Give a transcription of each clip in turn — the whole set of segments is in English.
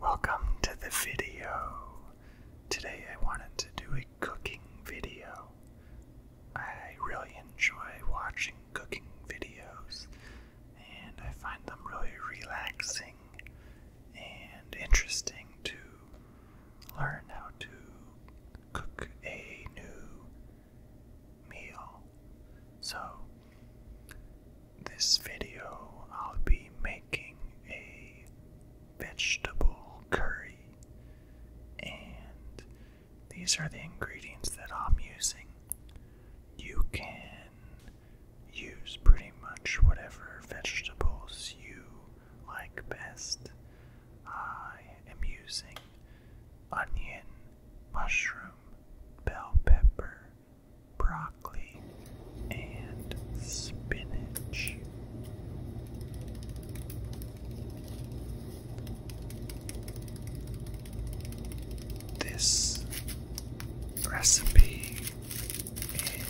Welcome to the video. Today I wanted to do a cooking video. I really enjoy watching cooking videos and I find them really relaxing and interesting to learn how to cook a new meal. So this video I'll be making a vegetable curry, and these are the ingredients that I'm using. You can use pretty much whatever vegetables you like best. I am using onion, mushroom, bell pepper, broccoli, and spinach. This recipe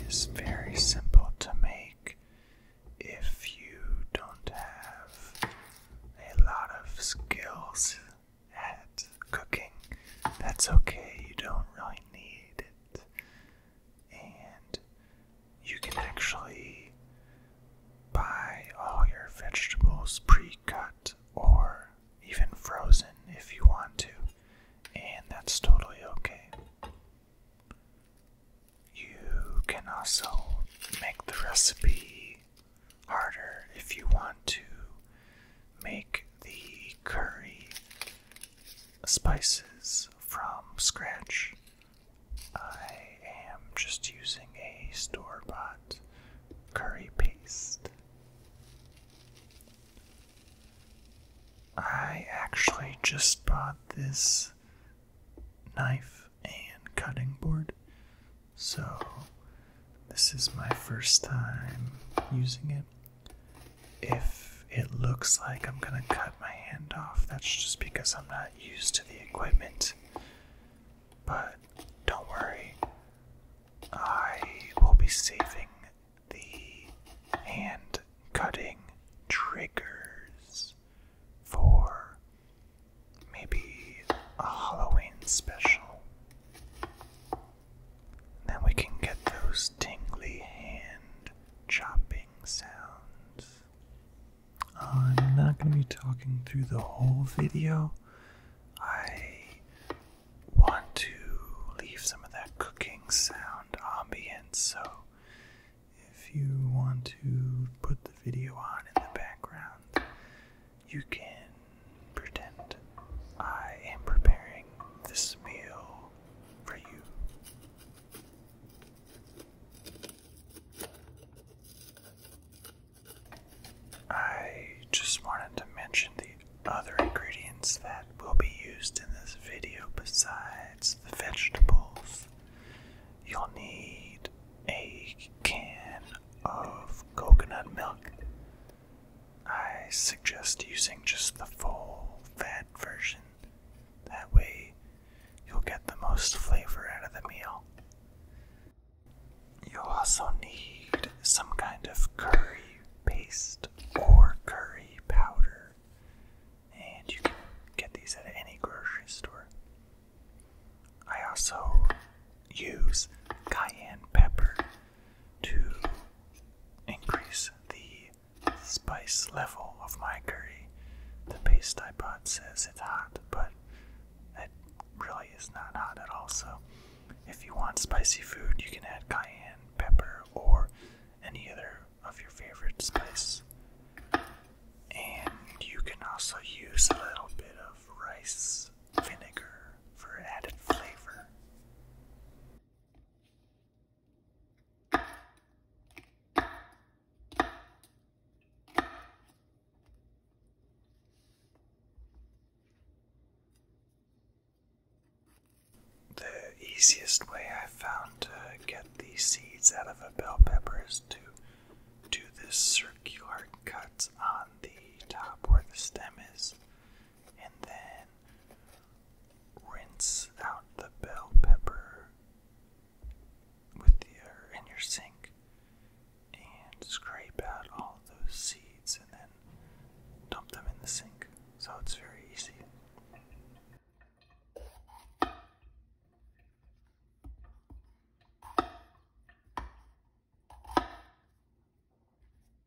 is very simple to make if you don't have a lot of skills at cooking. That's okay, you don't really need it. And you can actually buy all your vegetables pre cut or even frozen if you want to, and that's totally okay. You can also make the recipe harder if you want to make the curry spices from scratch. I am just using a store bought curry paste. I actually just bought this knife and cutting board, so this is my first time using it if it looks like I'm gonna cut my hand off, that's just because I'm not used to the equipment. But don't worry, I will be saving the hand cutting triggers for maybe a Halloween special. Then we can get those tingly hand chopping sounds. I'm not going to be talking through the whole video. I want to leave some of that cooking sound ambient, so if you want to put the video on in the background, you can pretend I am preparing this meal for you. I just wanted to mention the other ingredients that will be used in this video besides the vegetables. You'll need a can of coconut milk, I suggest using just the full fat version. That way, you'll get the most flavor out of the meal. You'll also need some kind of curry paste or curry powder, and you can get these at any grocery store. I also use cayenne pepper to increase the spice level of my curry. The paste I bought says it's hot, but it really is not hot at all. So, if you want spicy food, you can add cayenne, pepper, or any other of your favorite spice. And you can also use a little bit of rice vinegar for added flavor. The easiest way I found to get these seeds out of a bell pepper is to do this circular cut on the top where the stem is and then rinse out the bell pepper with your in your sink and scrape out all those seeds and then dump them in the sink. So it's very easy.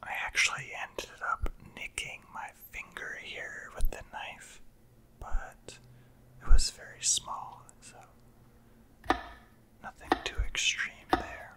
I actually ended up nicking my finger here with the knife, but it was very small, so nothing too extreme there.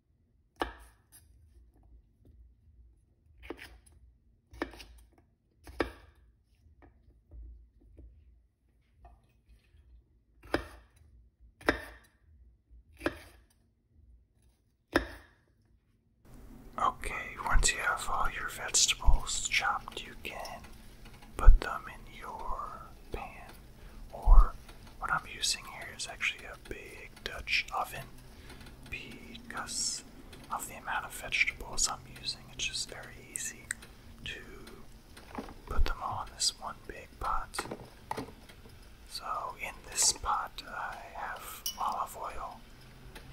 Okay, once you have all your vegetables chopped, you can put them in your pan or what I'm using here is actually a big Dutch oven because of the amount of vegetables I'm using. It's just very easy to put them all in this one big pot. So in this pot I have olive oil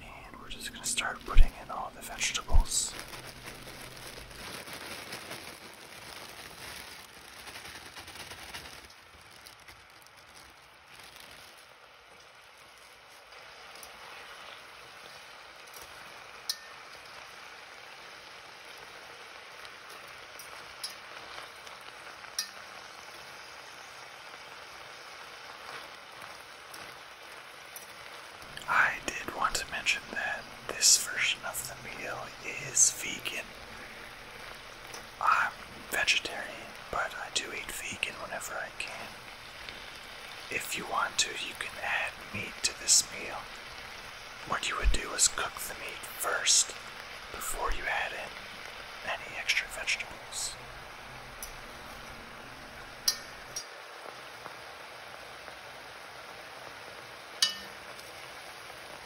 and we're just going to start putting in all the vegetables. I did want to mention that this version of the meal is vegan. I'm vegetarian, but I do eat vegan whenever I can. If you want to, you can add meat to this meal. What you would do is cook the meat first before you add in any extra vegetables.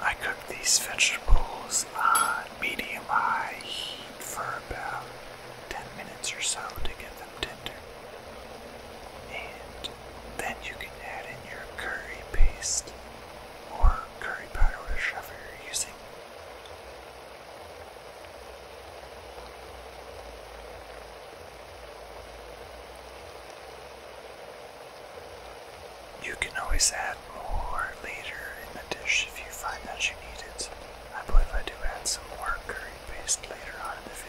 I cooked these vegetables on medium high heat for about 10 minutes or so to get them tender. And then you can add in your curry paste or curry powder, whichever you're using. You can always add more later in the dish if you find that you need it. I believe I do add some more curry paste later on in the video.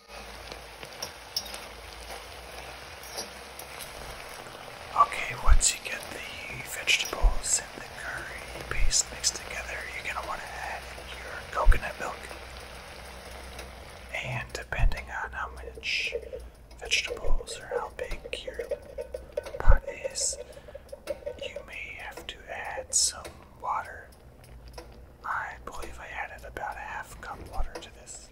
Okay, once you get the vegetables and the curry paste mixed together, you're going to want to add your coconut milk. And depending on how much vegetables or how big your pot is, you may have to add some water. I believe I added about a half cup water to this.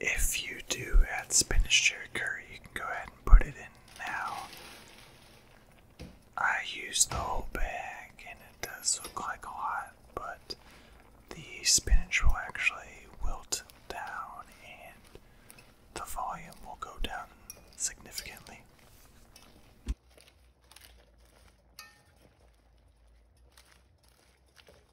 If you do add spinach to your curry, you can go ahead and put it in now. I used the whole bag and it does look like a lot, but the spinach will actually wilt down and the volume will go down significantly.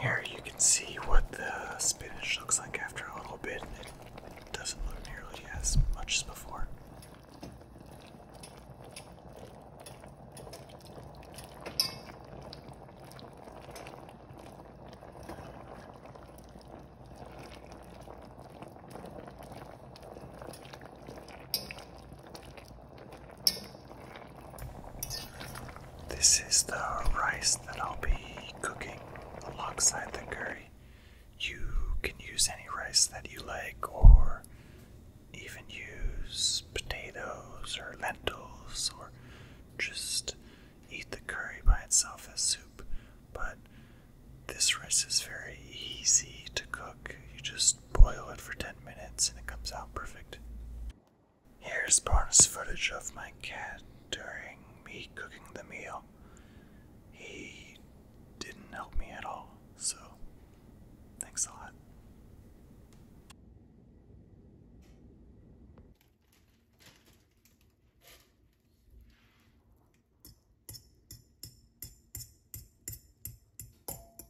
Here you can see what the spinach looks like after a little bit. It doesn't look nearly as much as before. This is the rice that I'll be cooking alongside the curry. You can use any rice that you like, or even use potatoes or lentils, or just eat the curry by itself as soup. But this rice is very easy to cook. You just boil it for 10 minutes and it comes out perfect. Here's bonus footage of my cat during me cooking the meal. He didn't help me at all, so thanks a lot.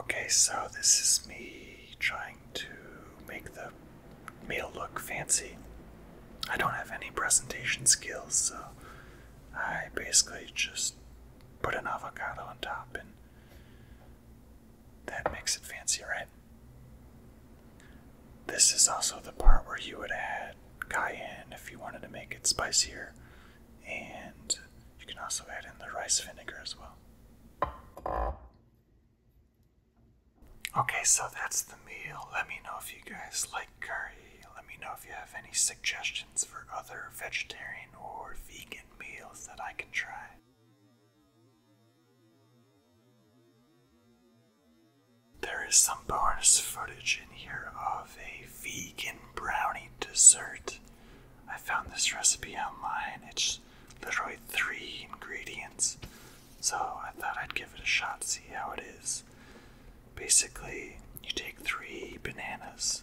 Okay, so this is me trying to make the meal look fancy. I don't have any presentation skills, so I basically just put an avocado on top and that makes it fancy, right? This is also the part where you would add cayenne if you wanted to make it spicier and you can also add in the rice vinegar as well. Okay, so that's the meal. Let me know if you guys like curry. Let me know if you have any suggestions for other vegetarian or vegan meals that I can try. There is some bonus footage in here of a vegan brownie dessert. I found this recipe online. It's literally three ingredients. So I thought I'd give it a shot, see how it is. Basically, you take three bananas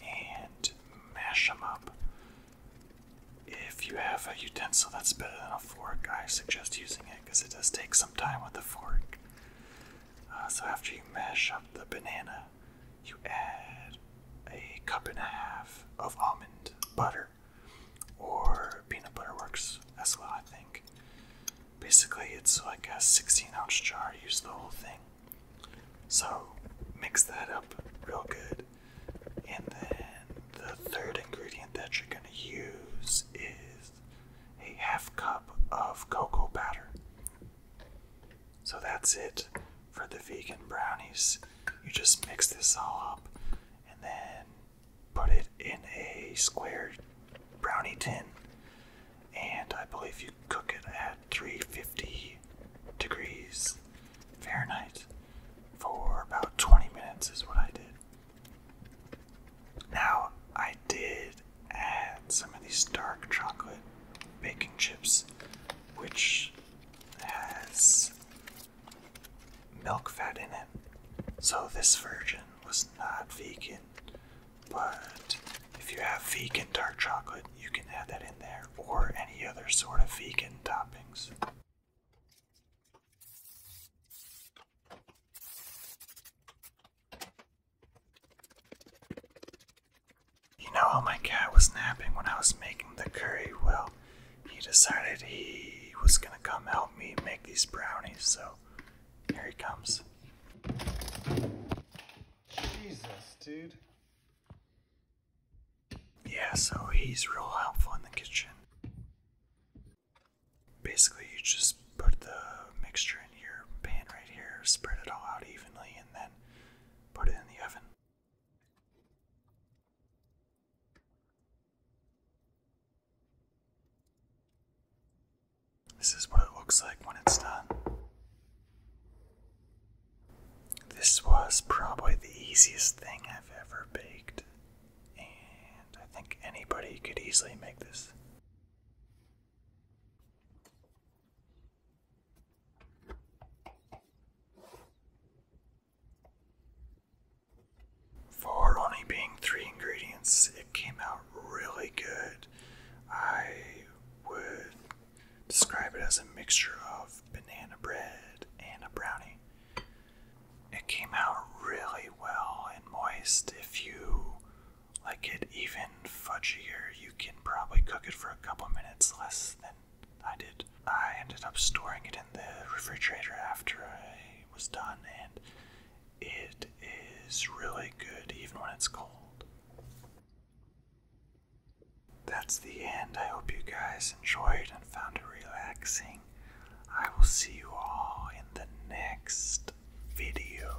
and mash them up. If you have a utensil that's better than a fork, I suggest using it because it does take some time with a fork. Uh, so after you mash up the banana, you add a cup and a half of almond butter, or peanut butter works as well, I think. Basically, it's like a 16 ounce jar, use the whole thing. So, mix that up real good. And then the third ingredient that you're going to use is a half cup of cocoa powder. So that's it for the vegan brownies. You just mix this all up and then put it in a square brownie tin. And I believe you cook it at 350 degrees Fahrenheit for about 20 minutes, is what I did. Now, I did add some of these dark chocolate baking chips, which has milk fat in it. So this version was not vegan, but if you have vegan dark chocolate, you can add that in there or any other sort of vegan toppings. You know how my cat was napping when I was making the curry? Well, he decided he was gonna come help me make these brownies, so here he comes. Jesus, dude. Yeah, so he's real helpful in the kitchen. Basically, you just put the mixture in your pan right here, spread it all out evenly, and then Put it in the oven. This is what it looks like when it's done. This was probably the easiest thing I've ever baked, and I think anybody could easily make this. For only being three ingredients, it came out really good. I would describe it as a mixture of banana bread and a brownie. It came out really well and moist if you like it even and fudgier, you can probably cook it for a couple minutes less than I did. I ended up storing it in the refrigerator after I was done, and it is really good even when it's cold. That's the end. I hope you guys enjoyed and found it relaxing. I will see you all in the next video.